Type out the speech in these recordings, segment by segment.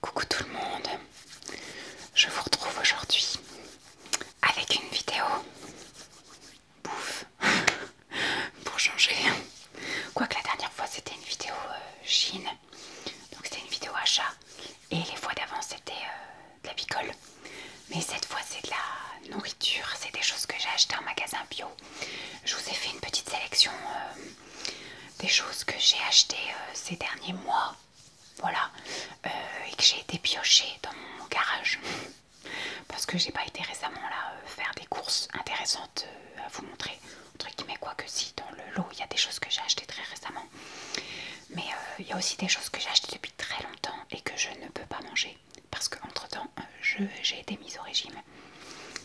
Coucou tout le monde, je vous retrouve aujourd'hui avec une vidéo bouffe pour changer. Quoique la dernière fois c'était une vidéo euh, Chine, donc c'était une vidéo achat et les fois d'avant c'était euh, de la bicole. Mais cette fois c'est de la nourriture, c'est des choses que j'ai achetées en magasin bio. Je vous ai fait une petite sélection. Euh, des choses que j'ai achetées euh, ces derniers mois, voilà, euh, et que j'ai été piochée dans mon garage parce que j'ai pas été récemment là euh, faire des courses intéressantes à vous montrer, mais quoi que si dans le lot il y a des choses que j'ai achetées très récemment, mais il y a aussi des choses que j'ai achetées depuis très longtemps et que je ne peux pas manger parce que entre temps j'ai été mise au régime.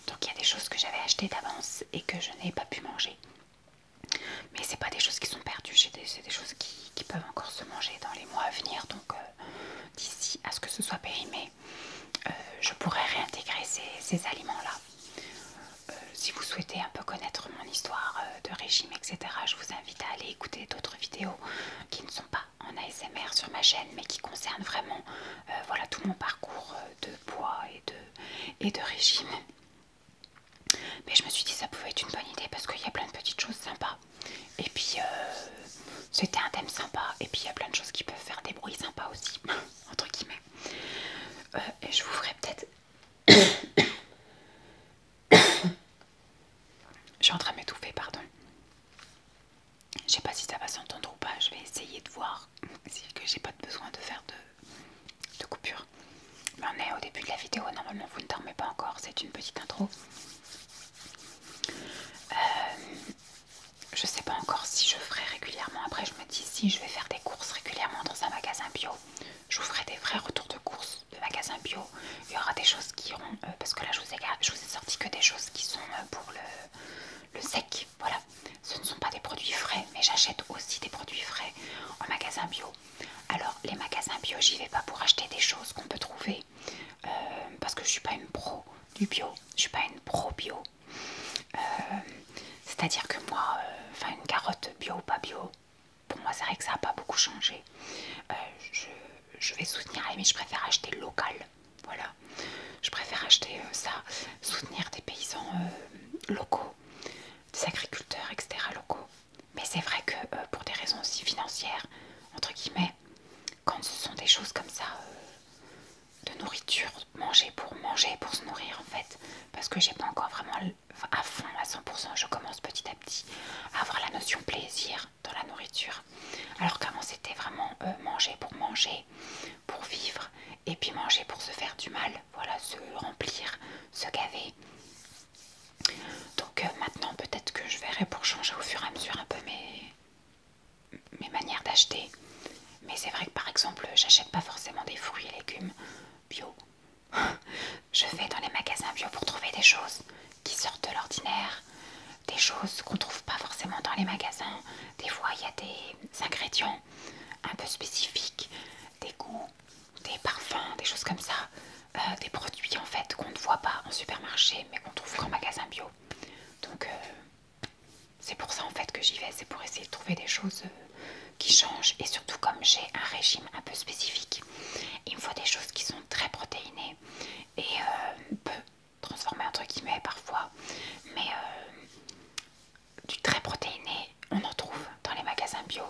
Donc il y a des choses que j'avais achetées d'avance et que je n'ai pas pu manger. Mais c'est pas des choses qui sont perdues, c'est des, choses qui, peuvent encore se manger dans les mois à venir. Donc euh, d'ici à ce que ce soit périmé, euh, je pourrais réintégrer ces, aliments-là. Euh, si vous souhaitez un peu connaître mon histoire de régime, etc., je vous invite à aller écouter d'autres vidéos qui ne sont pas en ASMR sur ma chaîne, mais qui concernent vraiment voilà, tout mon parcours de poids et de, et de régime. Mais je me suis dit ça pouvait être une bonne idée parce qu'il y a plein de petites choses sympas. Et puis euh, c'était un thème sympa. Et puis il y a plein de choses qui peuvent faire des bruits sympas aussi. entre guillemets. Euh, et je vous ferai peut-être... je suis en train de m'étouffer, pardon. Je sais pas si ça va s'entendre ou pas. Je vais essayer de voir si que j'ai pas besoin de faire de de coupure. Mais on est au début de la vidéo, normalement vous ne dormez pas encore, c'est une petite intro. Je euh, je sais pas encore si je ferai régulièrement. Après, je me dis si je vais faire des courses régulièrement dans un magasin bio, je vous ferai des vrais retours de courses de magasin bio. Il y aura des choses qui iront, euh, parce que là je vous, ai, vous ai sorti que des choses qui sont euh, pour le sec. Voilà, ce ne sont pas des produits frais, mais j'achète aussi des produits frais en magasin bio. Alors, les magasins bio, j'y vais pas pour acheter des choses qu'on peut trouver euh, parce que je suis pas une pro du bio, je suis pas une pro bio. Euh, c'est-à-dire que moi, euh, enfin, une carotte bio ou pas bio, pour moi, c'est vrai que ça n'a pas beaucoup changé. je, vais soutenir, mais je préfère acheter local. Voilà, je préfère acheter ça soutenir des paysans euh, locaux, des agriculteurs, etc. locaux. Mais c'est vrai que euh, pour des raisons aussi financières, entre guillemets, quand ce sont des choses comme ça, euh, de nourriture, manger pour manger, pour se nourrir en fait, parce que j'ai pas encore vraiment à fond, à 100%, je commence petit à petit à avoir la notion plaisir dans la nourriture. Alors qu'avant c'était vraiment manger pour manger, pour vivre, et puis manger pour se faire du mal, voilà, se remplir, se gaver. Donc euh, maintenant peut-être que je verrai pour changer au fur et à mesure un peu mes, mes manières d'acheter. Mais c'est vrai que par exemple j'achète pas forcément des fruits et légumes bio. je vais dans les magasins bio pour trouver des choses qui sortent de l'ordinaire, des choses qu'on trouve pas forcément dans les magasins. Des fois il y a des ingrédients un peu spécifique des goûts, des parfums, des choses comme ça, euh, des produits en fait qu'on ne voit pas en supermarché mais qu'on trouve qu'en magasin bio. Donc euh, c'est pour ça en fait que j'y vais, c'est pour essayer de trouver des choses euh, qui changent et surtout comme j'ai un régime un peu spécifique, il me faut des choses qui sont très protéinées et peu transformées entre guillemets parfois, mais du très protéiné, on en trouve dans les magasins bio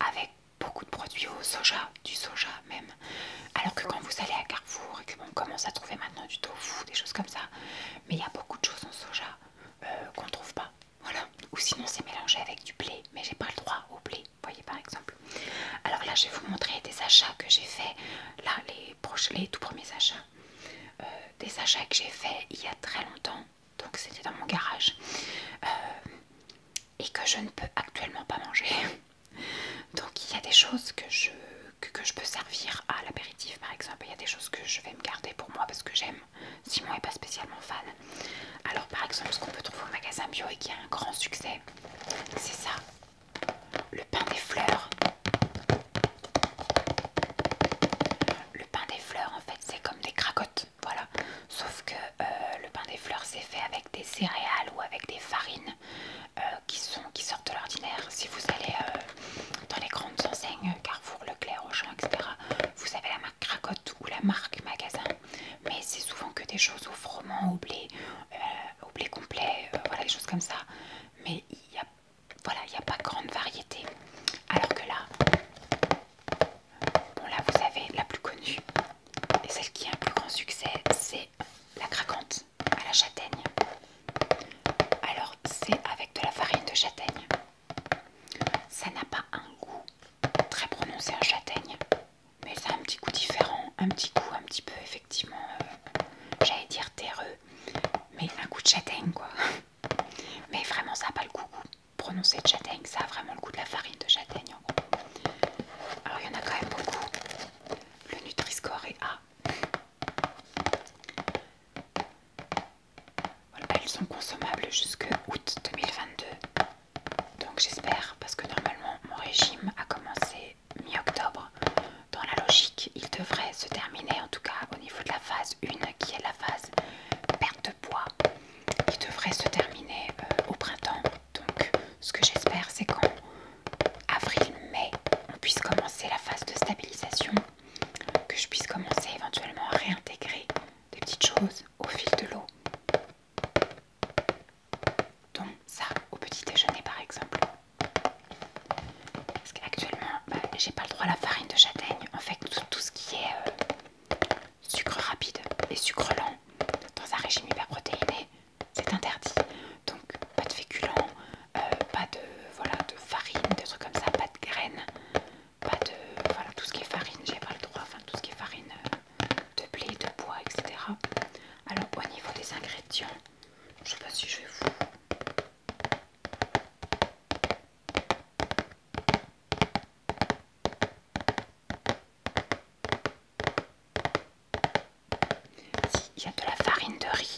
avec beaucoup de produits au soja, du soja même. Alors que quand vous allez à Carrefour et qu'on commence à trouver maintenant du tofu, des choses comme ça, mais il y a beaucoup de choses en soja euh, qu'on ne trouve pas. Voilà. Ou sinon c'est mélangé avec du blé, mais j'ai pas le droit au blé, voyez par exemple. Alors là je vais vous montrer des achats que j'ai fait, là les, les tout premiers achats euh, des achats que j'ai fait il y a très longtemps, donc c'était dans mon garage, euh, et que je ne peux actuellement pas manger. Donc il y a des choses que je, je peux servir à l'apéritif par exemple, il y a des choses que je vais me garder pour moi parce que j'aime, Simon n'est pas spécialement fan. Alors par exemple ce qu'on peut trouver au magasin bio et qui a un grand succès, c'est ça, le pain des fleurs. Le pain des fleurs en fait c'est comme des cracottes, voilà. Sauf que euh, le pain des fleurs c'est fait avec des céréales ou avec des farines euh, qui, sont, qui sortent de l'ordinaire. Si vous allez euh, dans les grandes enseignes, Carrefour, Leclerc, Auchan, etc. Vous avez la marque cracotte ou la marque magasin. Mais c'est souvent que des choses au froment, au blé, au blé complet, voilà des choses comme ça. Mais il a voilà, il n'y a pas grande variété. Alors que là, là vous avez la plus connue et celle qui a un plus grand succès, c'est la craquante à la châtaigne. Alors c'est avec de la farine de châtaigne. Ça n'a pas un goût très prononcé en châtaigne, mais ça a un petit goût différent, un petit goût un petit peu effectivement, euh, j'allais dire terreux, mais un goût de châtaigne quoi. Mais vraiment, ça n'a pas le goût prononcé de châtaigne. Ça a vraiment le goût de la farine de châtaigne. En gros. Alors, il y en a quand même beaucoup. Le Nutri-Score est A. Voilà, elles bah, sont consommables jusque août 2022. Donc j'espère, parce que normalement mon régime a commencé mi-octobre dans la logique, il devrait se terminer, en tout cas au niveau de la phase 1, qui est la phase perte de poids, il devrait se terminer euh, au printemps. Donc ce que j'espère, c'est qu'en avril-mai, on puisse commencer la phase de stabilisation, que je puisse commencer éventuellement à réintégrer des petites choses au fil de l'eau. Donc ça, au petit déjeuner par exemple. Parce qu'actuellement, bah, j'ai pas le droit à la farine de châtaigne. En fait, tout, ce qui est euh, sucre rapide et sucre lent dans un régime hyperprotéiné, c'est interdit. Donc, pas de féculents, euh, pas de, de farine, de trucs comme ça, pas de graines, pas de. Voilà, tout ce qui est farine, j'ai pas le droit. Enfin, tout ce qui est farine euh, de blé, de bois, etc. Alors, au niveau des ingrédients, je sais pas si je vais vous il y a de la farine de riz,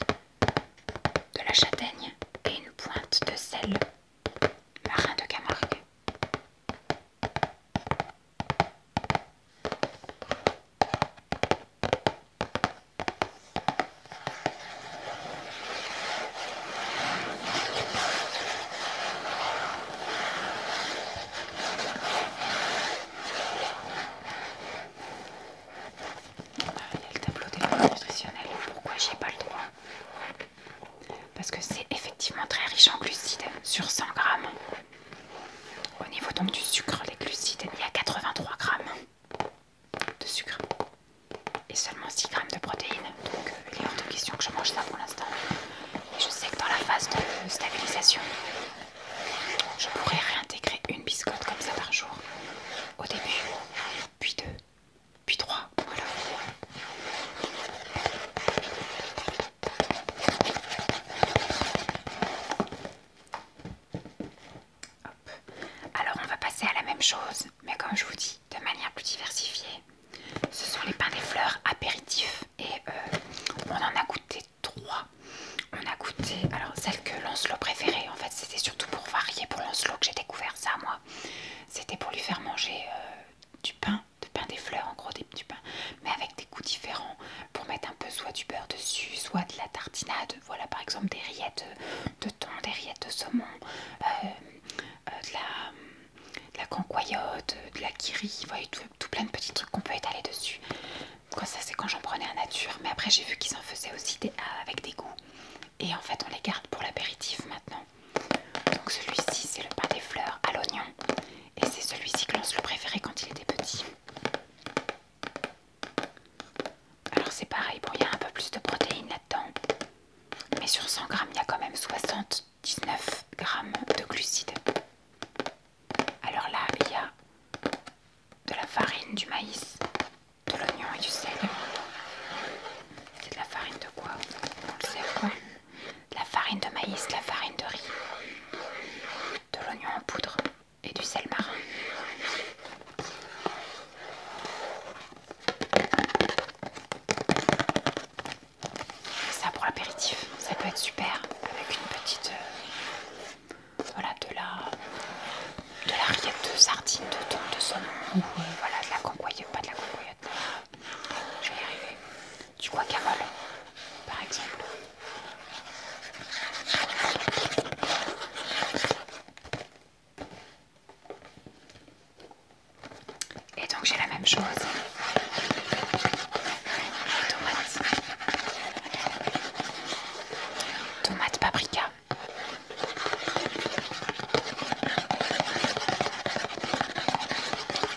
de la châtaigne et une pointe de sel. Marin de Camargue. Ah, il y a le tableau des nutritionnels. Pourquoi j'ai pas le droit Parce que c'est effectivement très riche en glucides sur 100 grammes. Au niveau donc du sucre, les glucides, il y a 83 grammes de sucre et seulement 6 grammes de protéines. Donc euh, il est hors de question que je mange ça pour l'instant. Et je sais que dans la phase de stabilisation, je pourrais réintégrer une biscotte comme ça par jour. Au début, puis deux, puis trois, voilà. Alors on va passer à la même chose, mais comme je vous dis, de manière plus diversifiée. Ce sont les pains des fleurs apéritifs et euh, on en a goûté trois. On a goûté, alors celle que Lancelot préférait, en fait c'était surtout pour varier pour Lancelot que j'ai découvert ça moi. C'était pour lui faire manger euh, du pain, de pain des fleurs en gros, du pain, mais avec des goûts différents pour mettre un peu soit du beurre dessus, soit de la tartinade, voilà par exemple des rillettes de thon, des rillettes de saumon, euh, euh, de, la, de cancoyote, de la kiri, vous voyez, tout, plein de petits trucs qu'on peut étaler dessus. ça c'est quand j'en prenais à nature, mais après j'ai vu qu'ils en faisaient aussi des, ah, avec des goûts. Et en fait on les garde pour l'apéritif maintenant. Donc celui-ci c'est le pain des fleurs à l'oignon. Et c'est celui-ci que l'on se le préférait quand il était petit. Alors c'est pareil, bon il y a un peu plus de protéines là-dedans. Mais sur 100 grammes, il y a quand même 79 g de glucides. Alors là, il y a de la farine, du maïs, de l'oignon et du sel. C'est de la farine de quoi On le sait quoi De la farine de maïs, la farine de riz, de l'oignon en poudre, et du sel marin. Ça pour l'apéritif, ça peut être super avec une petite euh, voilà de la de la rillette de sardines, de thon, de saumon ou euh, voilà de la cancoyote, pas de la cancoyote. Euh, je vais y arriver. Du guacamole par exemple. Et donc j'ai la même chose. Tomate, tomate paprika.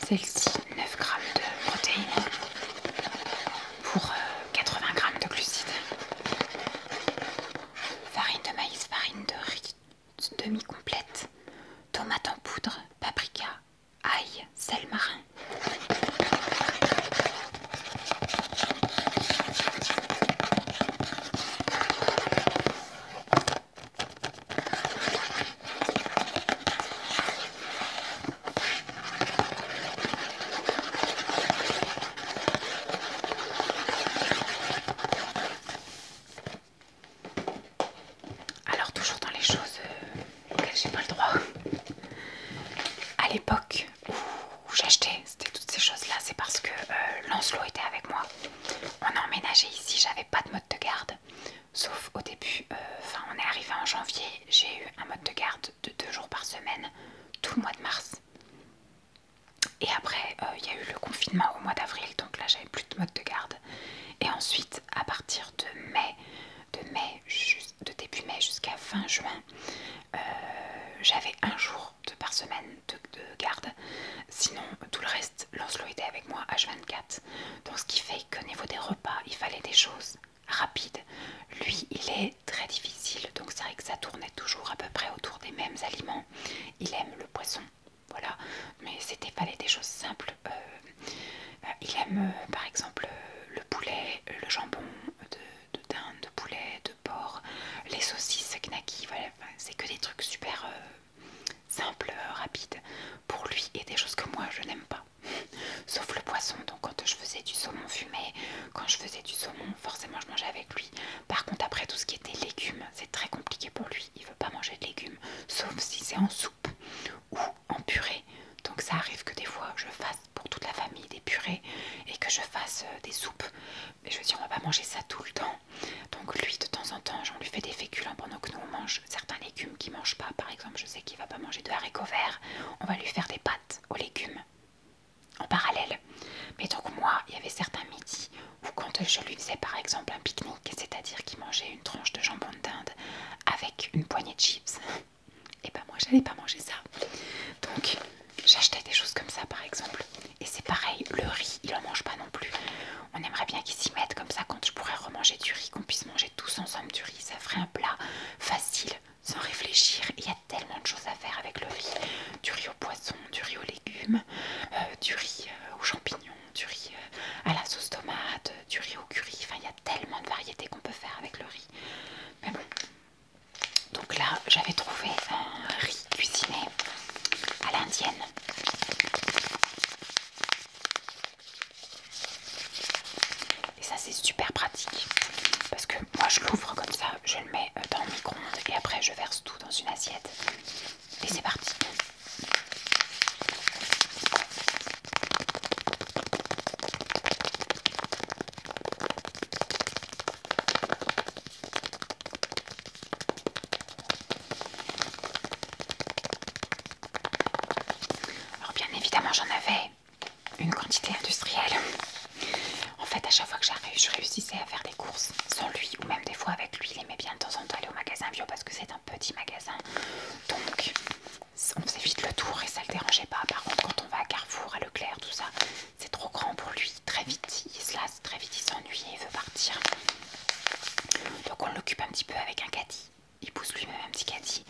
Celle-ci, 9 grammes de protéines pour 80 euh, grammes de glucides farine de maïs, farine de riz demi-complète, tomate en poudre, paprika, ail, sel marin. Alors toujours dans les choses euh, auxquelles j'ai pas le droit. À l'époque où j'achetais, c'était toutes ces choses-là, c'est parce que euh, Lancelot était avec moi. On a emménagé ici, j'avais pas de mode de garde. Sauf au début, euh, enfin on est arrivé en janvier, j'ai eu un mode de garde de deux jours par semaine tout le mois de mars. Et après, euh, il y a eu le confinement au mois d'avril, donc là j'avais plus de mode de garde. Et ensuite, à partir de mai, de mai, de début mai jusqu'à fin juin, euh, j'avais un jour de par semaine de, garde. Sinon, tout le reste, Lancelot était avec moi H24. Donc ce qui fait que niveau des repas, il fallait des choses rapides lui, il est très difficile, donc c'est vrai que ça tournait toujours à peu près autour des mêmes aliments. Il aime le poisson, voilà, mais c'était fallait des choses simples. Euh, euh, il aime euh, par exemple le poulet, le jambon de, dinde, de poulet, de porc, les saucisses knacky, voilà, c'est que des trucs super simple, simples, rapides pour lui et des choses que moi je n'aime pas. Sauf le poisson, donc quand je faisais du saumon fumé, quand je faisais du saumon, forcément je mangeais par contre, après tout ce qui était légumes, c'est très compliqué pour lui. Il veut pas manger de légumes, sauf si c'est en soupe ou en purée. Donc ça arrive que des fois je fasse pour toute la famille des purées et que je fasse euh, des soupes. Mais je veux dire, on va pas manger ça tout le temps. Donc lui, de temps en temps, j'en lui fais des féculents pendant que nous on mange certains légumes qu'il mange pas. Par exemple, je sais qu'il va pas manger de haricots verts. On va lui faire des pâtes aux légumes en parallèle. Mais donc moi, il y avait certains midis où quand je lui faisais par exemple un pique-nique, c'est-à-dire qu'il mangeait une tranche de jambon de dinde avec une poignée de chips, et eh ben moi j'allais pas manger ça. Donc j'achetais des choses comme ça par exemple. Et c'est pareil, le riz, il en mange pas non plus. On aimerait bien qu'il s'y mette comme ça quand je pourrais remanger du riz, qu'on puisse manger tous ensemble du riz, ça ferait un plat facile sans réfléchir. Il y a tellement de choses à faire avec le riz. Du riz au poisson, du riz aux légumes, euh, du riz euh, aux champignons, du riz euh, à la sauce tomate, du riz au curry. Enfin, il y a tellement de variétés qu'on peut faire avec le riz. Donc là, j'avais trouvé un riz cuisiné à l'indienne. Et ça, c'est super pratique parce que moi je l'ouvre comme ça, je le mets euh, dans le micro-ondes et après je verse tout dans une assiette et c'est parti. Alors bien évidemment j'en avais une quantité industrielle. En fait, à chaque fois que j'arrive, je réussissais à faire des courses sans lui ou même des fois avec lui. Il aimait bien de temps en temps aller au magasin bio parce que c'est un petit magasin. Donc, on faisait vite le tour et ça le dérangeait pas. Par contre, quand on va à Carrefour, à Leclerc, tout ça, c'est trop grand pour lui. Très vite, il se lasse, très vite, il s'ennuie et il veut partir. Donc, on l'occupe un petit peu avec un caddie. Il pousse lui-même un petit caddie,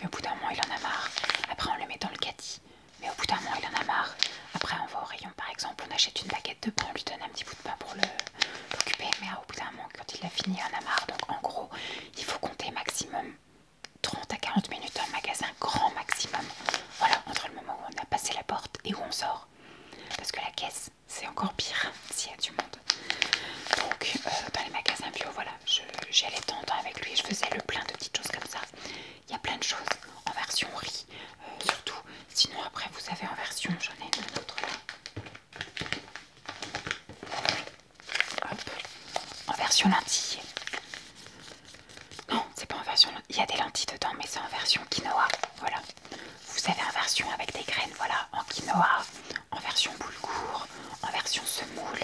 mais au bout d'un moment, il en a marre. Après, on le met dans le caddie. Mais au bout d'un moment, il en a marre. Après, on va au rayon, par exemple, on achète une baguette de pain, on lui donne un petit bout de pain pour l'occuper. Mais au bout d'un moment, quand il a fini, il en a marre. Donc, en gros, il faut compter maximum 30 à 40 minutes le magasin, grand maximum. Voilà, entre le moment où on a passé la porte et où on sort. Parce que la caisse, c'est encore pire s'il y a du monde. Donc, dans euh, bah, les magasins bio, voilà, j'allais temps avec lui, et je faisais le plein de petites choses comme ça. Il y a plein de choses en version riz, euh, surtout. Sinon, après, vous avez en version, j'en ai une autre là. En version lentille. Non, c'est pas en version Il y a des lentilles dedans, mais c'est en version quinoa. Voilà. Vous avez en version avec des graines, voilà, en quinoa, en version boulgour, en version semoule,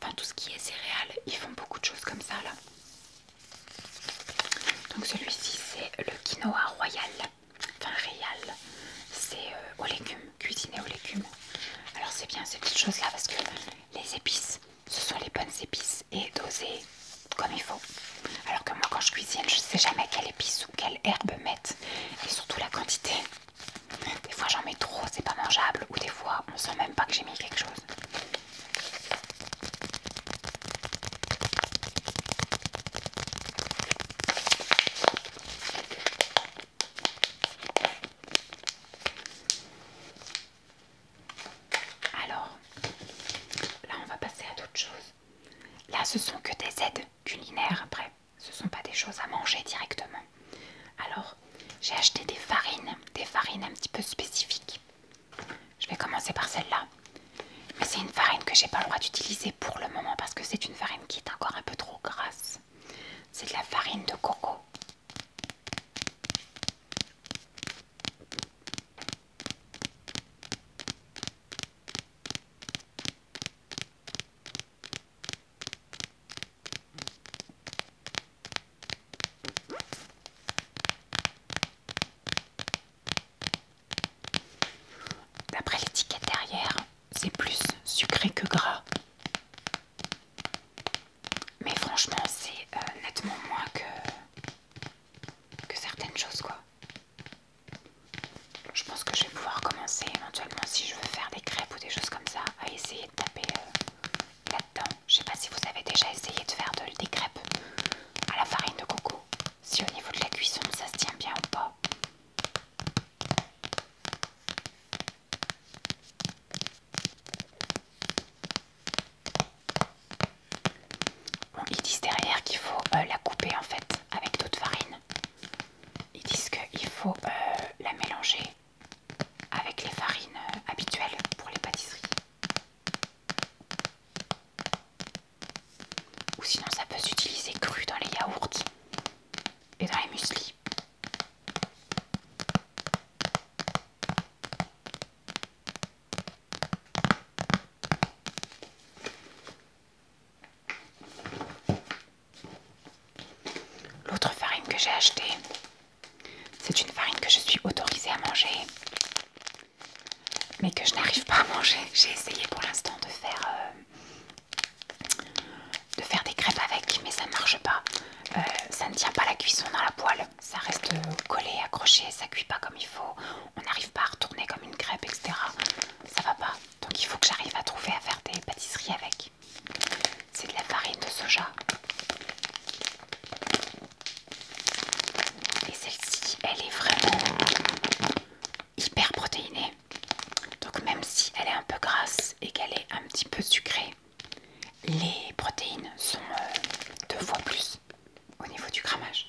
enfin tout ce qui est céréales, ils font beaucoup de choses comme ça là. Donc celui-ci c'est le quinoa royal, enfin royal c'est euh, aux légumes, cuisiné aux légumes. Alors c'est bien ces petites choses là parce que les épices, ce sont les bonnes épices et dosées comme il faut. Alors que moi quand je cuisine, je sais jamais quelle épice ou quelle herbe mettre et surtout la quantité. Des fois j'en mets trop, c'est pas mangeable, ou des fois on sent même pas que j'ai mis quelque chose. Alors, là on va passer à d'autres choses. Là ce sont que des aides culinaires après. Ce ne sont pas des choses à manger directement. Alors, j'ai acheté des farines, des farines un petit peu spécifiques. Je vais commencer par celle-là. Mais c'est une farine que j'ai pas le droit d'utiliser pour le moment parce que c'est une farine qui est encore un peu trop grasse. C'est de la farine de coco. D'après l'étiquette derrière, c'est plus sucré que gras. Mais franchement, c'est euh, nettement moins que, certaines choses, quoi. Je pense que je vais pouvoir commencer éventuellement, si je veux faire des crêpes ou des choses comme ça, à essayer de taper euh, Là-dedans, je sais pas si vous avez déjà essayé de faire des crêpes à la farine de coco. Si au niveau de la cuisson, ça se tient bien ou pas. Bon, ils disent derrière qu'il faut euh, la couper en fait avec d'autres farines. Ils disent qu'il faut euh, la mélanger avec les farines euh, habituelles pour les pâtisseries. Ou sinon ça peut s'utiliser cru dans les yaourts et dans les mueslis. L'autre farine que j'ai achetée, c'est une farine que je suis autorisée à manger, mais que je n'arrive pas à manger. J'ai essayé pour l'instant de faire euh, de faire des crêpes avec, mais ça ne marche pas. Euh, ça ne tient pas la cuisson dans la poêle, ça reste collé, accroché, ça cuit pas comme il faut. On n'arrive pas à retourner comme une crêpe, etc. Ça va pas. Donc il faut que j'arrive à trouver à faire des pâtisseries avec. C'est de la farine de soja. Et celle-ci, elle est vraiment hyper protéinée. Donc même si elle est un peu grasse et qu'elle est un petit peu sucrée, les protéines sont euh, deux fois plus au niveau du grammage.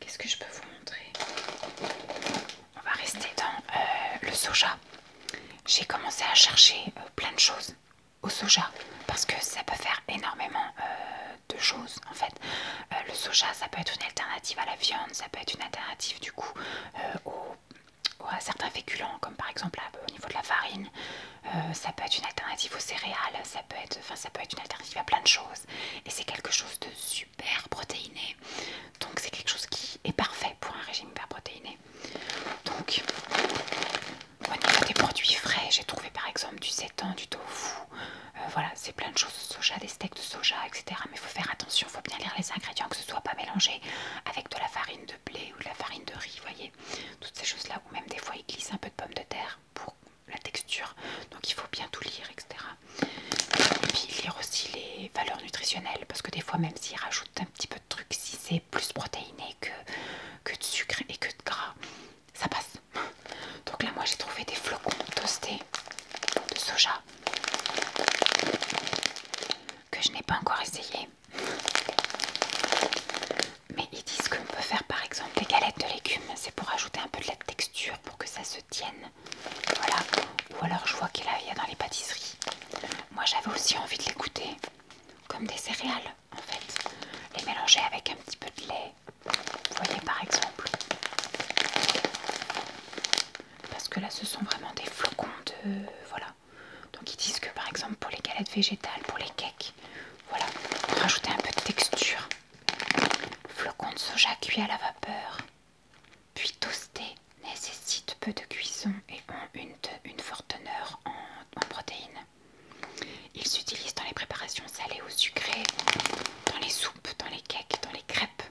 Qu'est-ce que je peux vous montrer On va rester dans euh, le soja. J'ai commencé à chercher euh, plein de choses au soja parce que ça peut faire énormément euh, de choses en fait. le soja, ça peut être une alternative à la viande, ça peut être une alternative du coup à certains féculents comme par exemple au niveau de la farine ça peut être une alternative aux céréales ça peut être enfin ça peut être une alternative à plein de choses et c'est quelque chose de super protéiné. Donc c'est quelque chose qui est parfait pour un régime hyper protéiné. Donc des produits frais, j'ai trouvé par exemple du seitan, du tofu, euh, voilà, c'est plein de choses de soja, des steaks de soja, etc. Mais il faut faire attention, il faut bien lire les ingrédients, que ce soit pas mélangé avec de la farine de blé ou de la farine de riz, voyez, toutes ces choses-là, ou même des fois il glisse un peu de pommes de terre pour la texture. Donc il faut bien tout lire, etc. Et puis lire aussi les valeurs nutritionnelles, parce que des fois, même s'ils rajoute un petit peu de trucs, si c'est plus protéiné que, que de sucre et que de gras, ça passe. Donc là, moi j'ai trouvé des flocons toastés de soja que je n'ai pas encore essayé. Mais ils disent qu'on peut faire par exemple des galettes de légumes, c'est pour ajouter un peu de texture pour que ça se tienne. Voilà. Ou alors je vois qu'il y a dans les pâtisseries. Moi j'avais aussi envie de les goûter comme des céréales en fait. Les mélanger avec un petit peu de lait. Vous voyez par exemple. Parce que là ce sont vraiment des flocons de... Voilà. Donc ils disent que par exemple pour les galettes végétales, pour les cakes, voilà, rajouter un peu de texture. Flocons de soja cuits à la vapeur, puis toastés, nécessitent peu de cuisson et ont une, forte teneur en, protéines. Ils s'utilisent dans les préparations salées ou sucrées, dans les soupes, dans les cakes, dans les crêpes.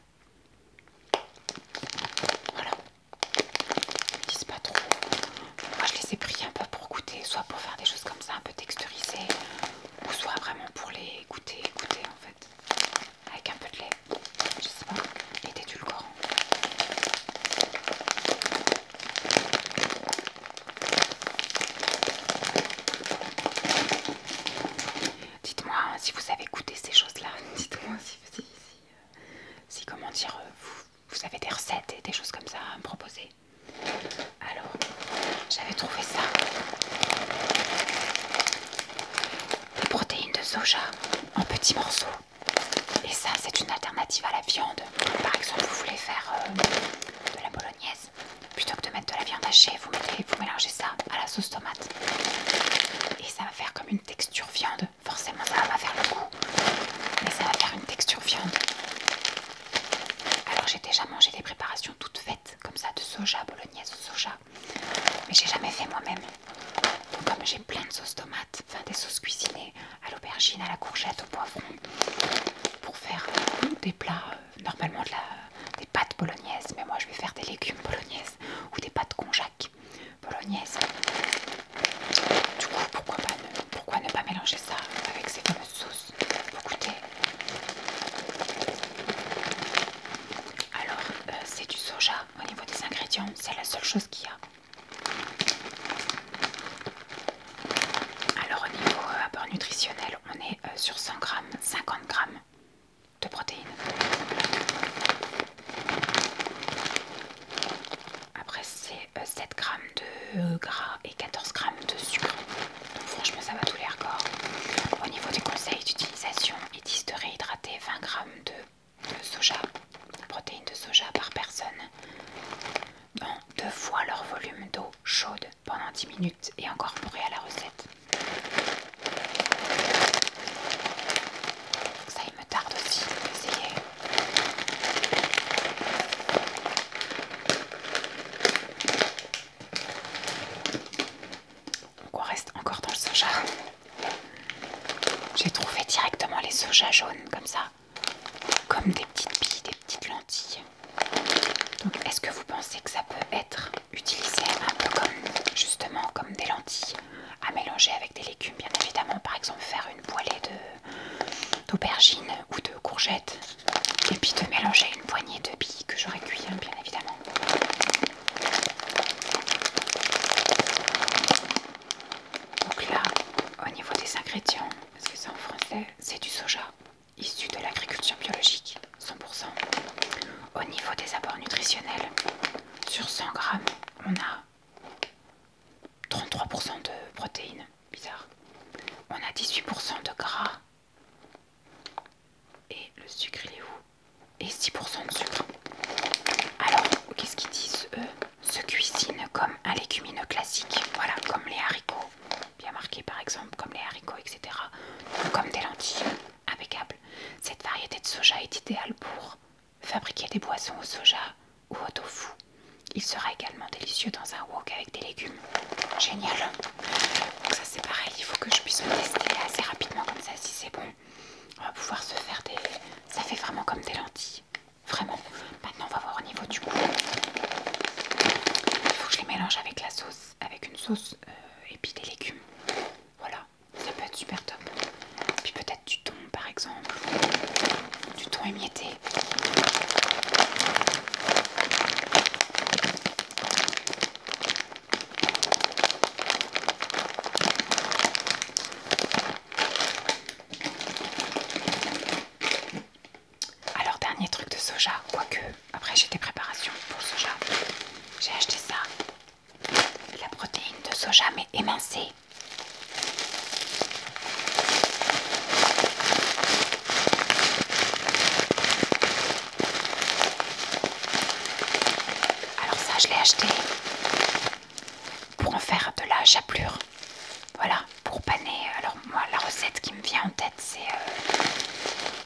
Voilà. Ils me disent pas trop. Moi je les ai pris un peu pour goûter, soit pour faire des choses comme ça, un peu texturisées, ou soit vraiment pour les goûter, goûter en fait, avec un peu de lait, je sais pas, et Dites-moi si vous avez goûté ces choses-là, dites-moi si, si, si, euh, si, comment dire, euh, vous avez des recettes et des choses comme ça à me proposer. Alors, j'avais trouvé ça. Des protéines de soja en petits morceaux. Et ça, c'est une alternative à la viande. Par exemple, vous voulez faire euh, de la bolognaise. Plutôt que de mettre de la viande hachée, vous, vous mélangez ça à la sauce tomate. Et ça va faire comme une texture viande. Forcément, ça va faire le goût. Mais ça va faire une texture viande. Alors j'ai déjà mangé des préparations toutes faites, comme ça, de soja, bolognaise soja, mais j'ai jamais fait moi-même. comme j'ai plein de sauces tomates, enfin des sauces cuisinées à l'aubergine, à la courgette, au poivron, pour faire euh, des plats, euh, normalement de la, des pâtes bolognaises, mais moi je vais faire des légumes bolognaises ou des pâtes conjac bolognaises. Du coup, pourquoi pourquoi ne pas mélanger ça avec ces fameuses sauces alors, euh, c'est du soja au niveau des ingrédients. C'est la seule chose qu'il y a. Alors, au niveau euh, apport nutritionnel, on est euh, sur 100 grammes, 50 grammes de protéines. Après, c'est 7 grammes de gras et 14 grammes de sucre. franchement ça va tous les records. Au niveau des conseils d'utilisation, ils disent de réhydrater 20 grammes de, de soja, de protéines de soja par personne dans deux fois leur volume d'eau chaude pendant 10 minutes et incorporer à la recette. Ça il me tarde aussi d'essayer. Donc on reste encore dans le soja. J'ai trouvé directement les soja jaunes comme ça, comme des petites billes, des petites lentilles. Donc est-ce que vous pensez que ça peut être utilisé un peu comme justement comme des lentilles à mélanger avec des légumes bien évidemment par exemple faire une poêlée d'aubergines ou de courgettes et puis de mélanger une poignée de billes que j'aurais cuit hein, bien évidemment. Donc là, au niveau des ingrédients, parce que c'est en français, c'est du soja issu de l'agriculture biologique, 100%. Au niveau des apports nutritionnels, sur 100 grammes, on a 33% de protéines, bizarre. On a 18% de gras et le sucre, il est où Et 6% de sucre. Alors, qu'est-ce qu'ils disent eux Se cuisine comme un légumineux classique. Voilà, comme les haricots. Bien marqué par exemple, comme les haricots, etc. Ou comme des lentilles. Impeccable. Cette variété de soja est idéale pour fabriquer des boissons au soja ou au tofu. Il sera également délicieux dans un wok avec des légumes. Génial. Donc ça c'est pareil, il faut que je puisse le tester assez rapidement comme ça si c'est bon. On va pouvoir se faire des... Ça fait vraiment comme des lentilles. Vraiment. Maintenant on va voir au niveau du goût. Il faut que je les mélange avec la sauce, avec une sauce euh, et puis des légumes. Voilà, ça peut être super top. Puis peut-être du thon par exemple. Du thon émietté alors dernier truc de soja, quoique après j'ai des préparations pour le soja, j'ai acheté ça, la protéine de soja mais émincée. Alors ça, je l'ai acheté pour en faire de la chapelure. Voilà, pour paner. Alors moi, la recette qui me vient en tête, c'est euh,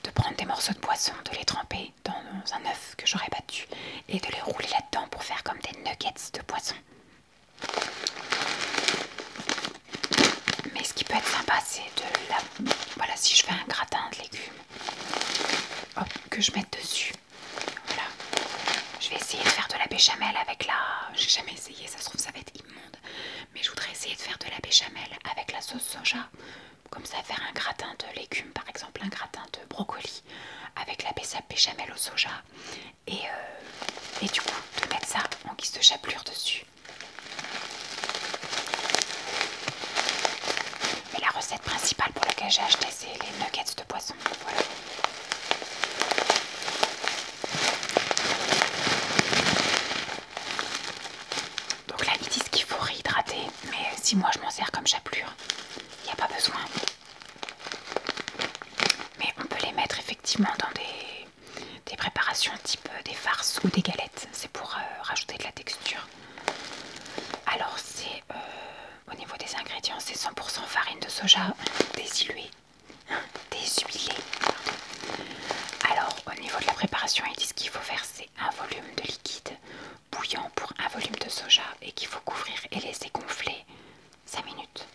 de prendre des morceaux de poisson, de les tremper dans un œuf que j'aurais battu et de les rouler là-dedans pour faire comme des nuggets de poisson. Mais ce qui peut être sympa, c'est de la. Voilà, si je fais un gratin de légumes, que je mette dessus. Voilà. Je vais essayer de faire de la béchamel avec la. J'ai jamais essayé, ça se trouve, ça va être immonde. Mais je voudrais essayer de faire de la béchamel avec la sauce soja. Comme ça, faire un gratin de légumes, par exemple, un gratin de brocoli avec la béchamel au soja. Et, euh, et du coup, de mettre ça en guise de chapelure dessus. Mais la recette principale pour laquelle j'ai acheté, c'est les nuggets de poisson. Donc là, ils disent qu'il faut réhydrater, mais si moi je m'en sers comme chapelure, il n'y a pas besoin. Mais on peut les mettre effectivement dans des des préparations type euh, des farces ou des galettes. C'est pour euh, rajouter de la texture. Alors c'est euh, au niveau des ingrédients, c'est 100% farine de soja désiluée. Déshuilée. Alors au niveau de la préparation, ils disent qu'il faut verser un volume de liquide bouillant pour un volume de soja et qu'il faut couvrir et laisser gonfler 5 minutes.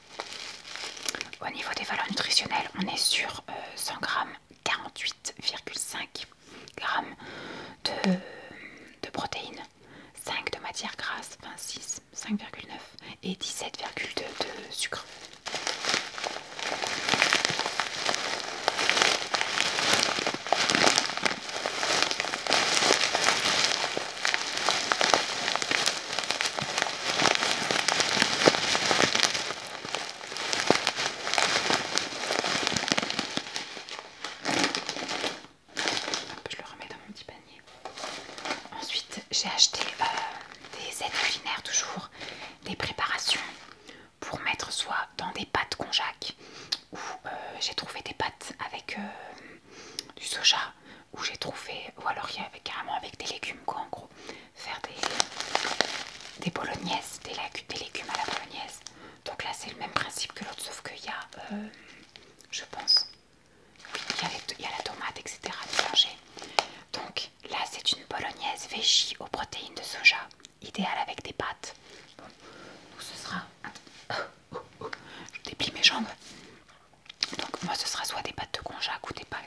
Au niveau des valeurs nutritionnelles, on est sur 100 g 48,5 g de, protéines, 5 de matière grasse, 26, 5,9 et 17,2 de sucre je le remets dans mon petit panier. Ensuite, j'ai acheté euh, des aides culinaires, toujours des préparations pour mettre soit dans des pâtes konjac ou euh, j'ai trouvé des pâtes avec euh, du soja, où j'ai trouvé, ou alors carrément avec des légumes quoi en gros faire des, des bolognaises, des, légumes à la bolognaise. Donc là, c'est le même principe que l'autre, sauf qu'il y a, euh, je pense, il, y a la tomate, etc. Donc là, c'est une bolognaise végie aux protéines de soja, idéale avec des pâtes. donc ce sera. Je déplie mes jambes. Donc moi ce sera soit des pâtes de conjac ou des pâtes,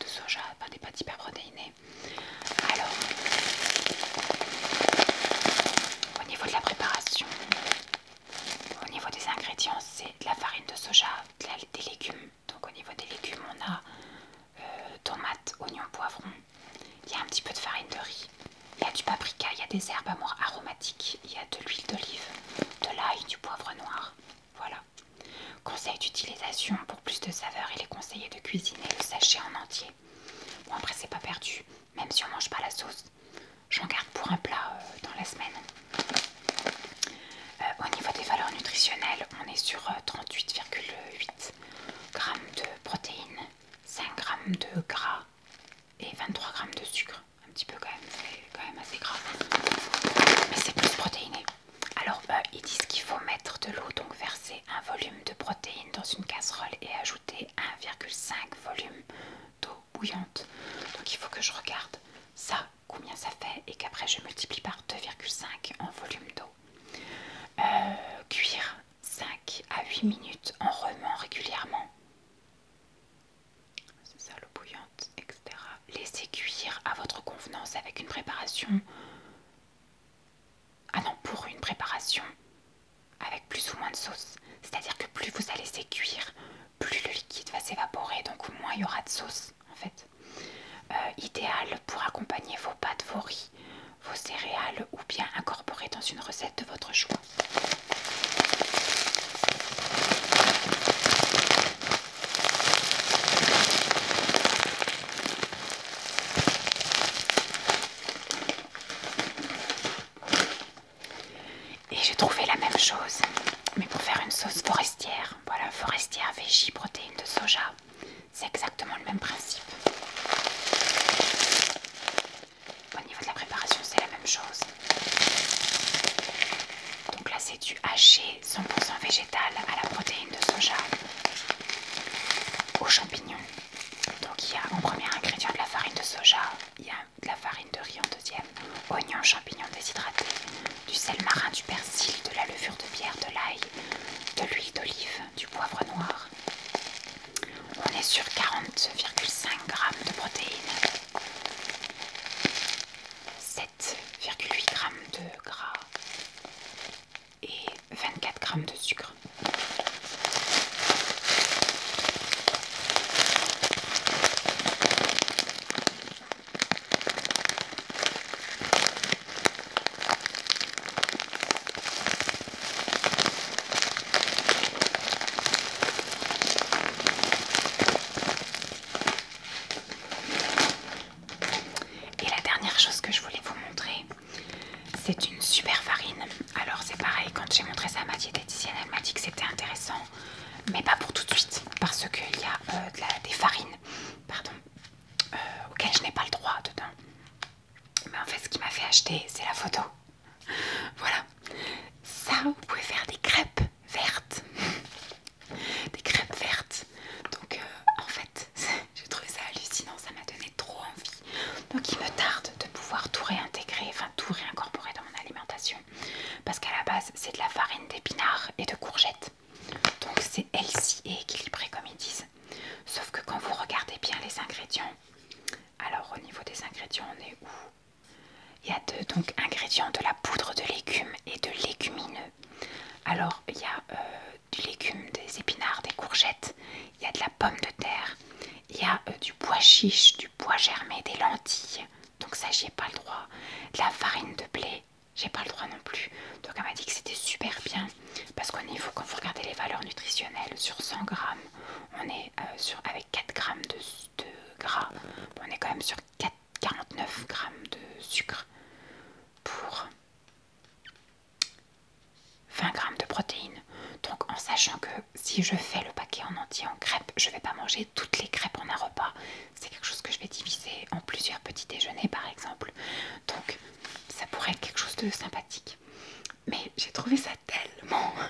de, soja, enfin des pâtes hyper protéinées. Alors au niveau de la préparation, au niveau des ingrédients, c'est de la farine de soja, des légumes. Donc au niveau des légumes, on a euh, tomates, oignons, poivrons. Il y a un petit peu de farine de riz. Il y a du paprika, il y a des herbes aromatiques, il y a de l'huile d'olive, de l'ail, du poivre noir. Voilà. Conseil d'utilisation pour plus de saveur, il est conseillé de cuisiner le sachet en entier. Bon après c'est pas perdu, même si on mange pas la sauce, j'en garde pour un plat euh, dans la semaine. Euh, au niveau des valeurs nutritionnelles, on est sur 38,8 euh, g de protéines, 5 g de gras et 23 g de sucre. Un petit peu quand même, c'est quand même assez gras. Mais c'est plus protéiné. Alors bah, ils disent qu'il faut mettre de l'eau, donc verser un volume de protéines dans une casserole et ajouter 1,5 volume d'eau bouillante. Donc il faut que je regarde ça, combien ça fait, et qu'après je multiplie par 2,5 en volume d'eau. Euh, cuire 5 à 8 minutes en remuant régulièrement c'est ça, l'eau bouillante, etc. Laissez cuire à votre convenance avec une préparation. Ah non, pour une préparation avec plus ou moins de sauce. C'est-à-dire que plus vous allez laisser cuire, plus le liquide va s'évaporer, donc moins il y aura de sauce en fait. Euh, idéal pour accompagner vos pâtes, vos riz, vos céréales ou bien incorporer dans une recette de votre choix. Et j'ai trouvé la même chose, mais pour faire une sauce forestière. Voilà, forestière végie, protéines de soja. C'est exactement le même principe. Au niveau de la préparation, c'est la même chose. Donc là, c'est du haché 100% végétal à la protéine de soja aux champignons. Donc il y a en premier ingrédient de la farine de soja, il y a de la farine de riz en deuxième, oignons, champignons déshydratés, du sel marin, du persil, de la levure de bière, de l'ail, de l'huile d'olive, du poivre noir. On est sur 40,5 g de protéines. 7,8 grammes de gras et 24 grammes de sucre. Et la dernière chose que je voulais vous montrer, c'est une super farine. Alors c'est pareil, quand j'ai montré ça à ma diététicienne, elle m'a dit que c'était intéressant, mais pas pour tout de suite, parce qu'il y a euh, des farines pardon, euh, auxquelles je n'ai pas le droit dedans. Mais en fait, ce qui m'a fait acheter, c'est la photo. Voilà. Ça, vous pouvez faire des crêpes vertes, des crêpes vertes. Donc euh, en fait, j'ai trouvé ça hallucinant, ça m'a donné trop envie. Donc il me tarde de pouvoir tout réintégrer, enfin tout réincorporer dans mon alimentation. Parce qu'à la base, c'est de la farine d'épinards et de courgettes. Donc c'est healthy et équilibré comme ils disent. Sauf que quand vous regardez bien les ingrédients, alors au niveau des ingrédients, on est où il y a deux donc, ingrédients de la poudre de légumes et de légumineux. Alors, il y a euh, du légume, des épinards, des courgettes, il y a de la pomme de terre, il y a euh, du bois chiche, du bois germé, des lentilles, donc ça, j'y ai pas le droit, de la farine de blé, j'ai pas le droit non plus. Donc, elle m'a dit que c'était super bien parce qu'au niveau, quand vous regardez les valeurs nutritionnelles sur 100 grammes, on est euh, sur, avec 4 grammes de, gras, on est quand même sur 4 49 grammes de sucre pour 20 grammes de protéines. Donc en sachant que si je fais le paquet en entier en crêpes, je vais pas manger toutes les crêpes en un repas. C'est quelque chose que je vais diviser en plusieurs petits déjeuners par exemple. Donc ça pourrait être quelque chose de sympathique. Mais j'ai trouvé ça tellement...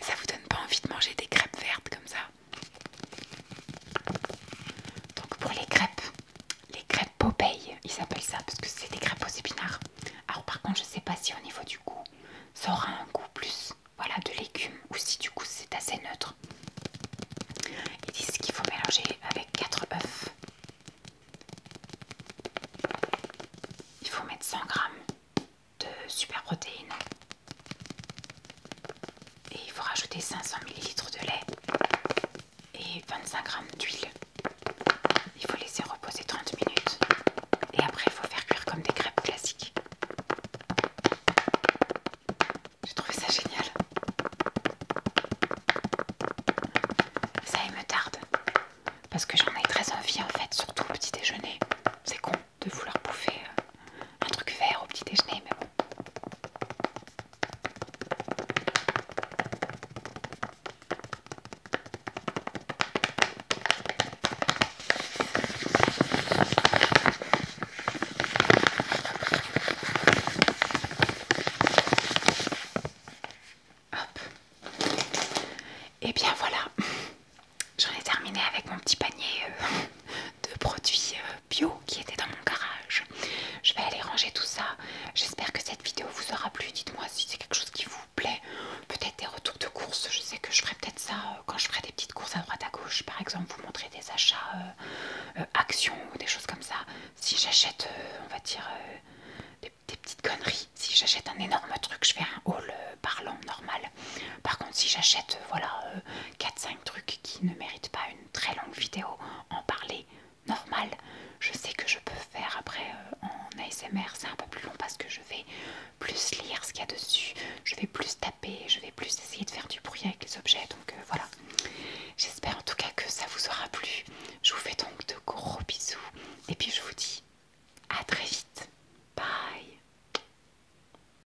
Ça vous donne pas envie de manger des crêpes vertes comme ça donc pour les crêpes, les crêpes Popeye, ils appellent ça parce que c'est des crêpes aux épinards. Alors par contre, je sais pas si au niveau du goût, ça aura un goût plus voilà, de légumes ou si du coup c'est assez neutre. Ils disent qu'il faut mélanger avec 4 œufs. Il faut mettre 100 g de super protéines et il faut rajouter 500 ml de lait et 25 g d'huile. Il faut laisser reposer 30 minutes et après il faut faire cuire comme des crêpes classiques. J'ai trouvé ça génial. Ça il me tarde parce que j'en ai très envie en fait, surtout au petit déjeuner. C'est con de vouloir bouffer euh, un truc vert au petit déjeuner, mais bon. Et eh bien voilà, j'en ai terminé avec mon petit panier euh, de produits euh, bio qui étaient dans mon garage. Je vais aller ranger tout ça. J'espère que cette vidéo vous aura plu. Dites-moi si c'est quelque chose qui vous plaît. Peut-être des retours de courses. Je sais que je ferai peut-être ça euh, quand je ferai des petites courses à droite à gauche. Par exemple, vous montrer des achats euh, actions ou des choses comme ça. Si j'achète, on va dire, des, petites conneries. Si j'achète un énorme truc, je fais un haul parlant normal. Par contre, si j'achète euh, voilà, 4-5 euh, trucs qui ne méritent pas une très longue vidéo, en parler normal, je sais que je peux faire après euh, en ASMR, c'est un peu plus long parce que je vais plus lire ce qu'il y a dessus, je vais plus taper, je vais plus essayer de faire du bruit avec les objets, donc voilà. J'espère en tout cas que ça vous aura plu. Je vous fais donc de gros bisous et puis je vous dis à très vite. Bye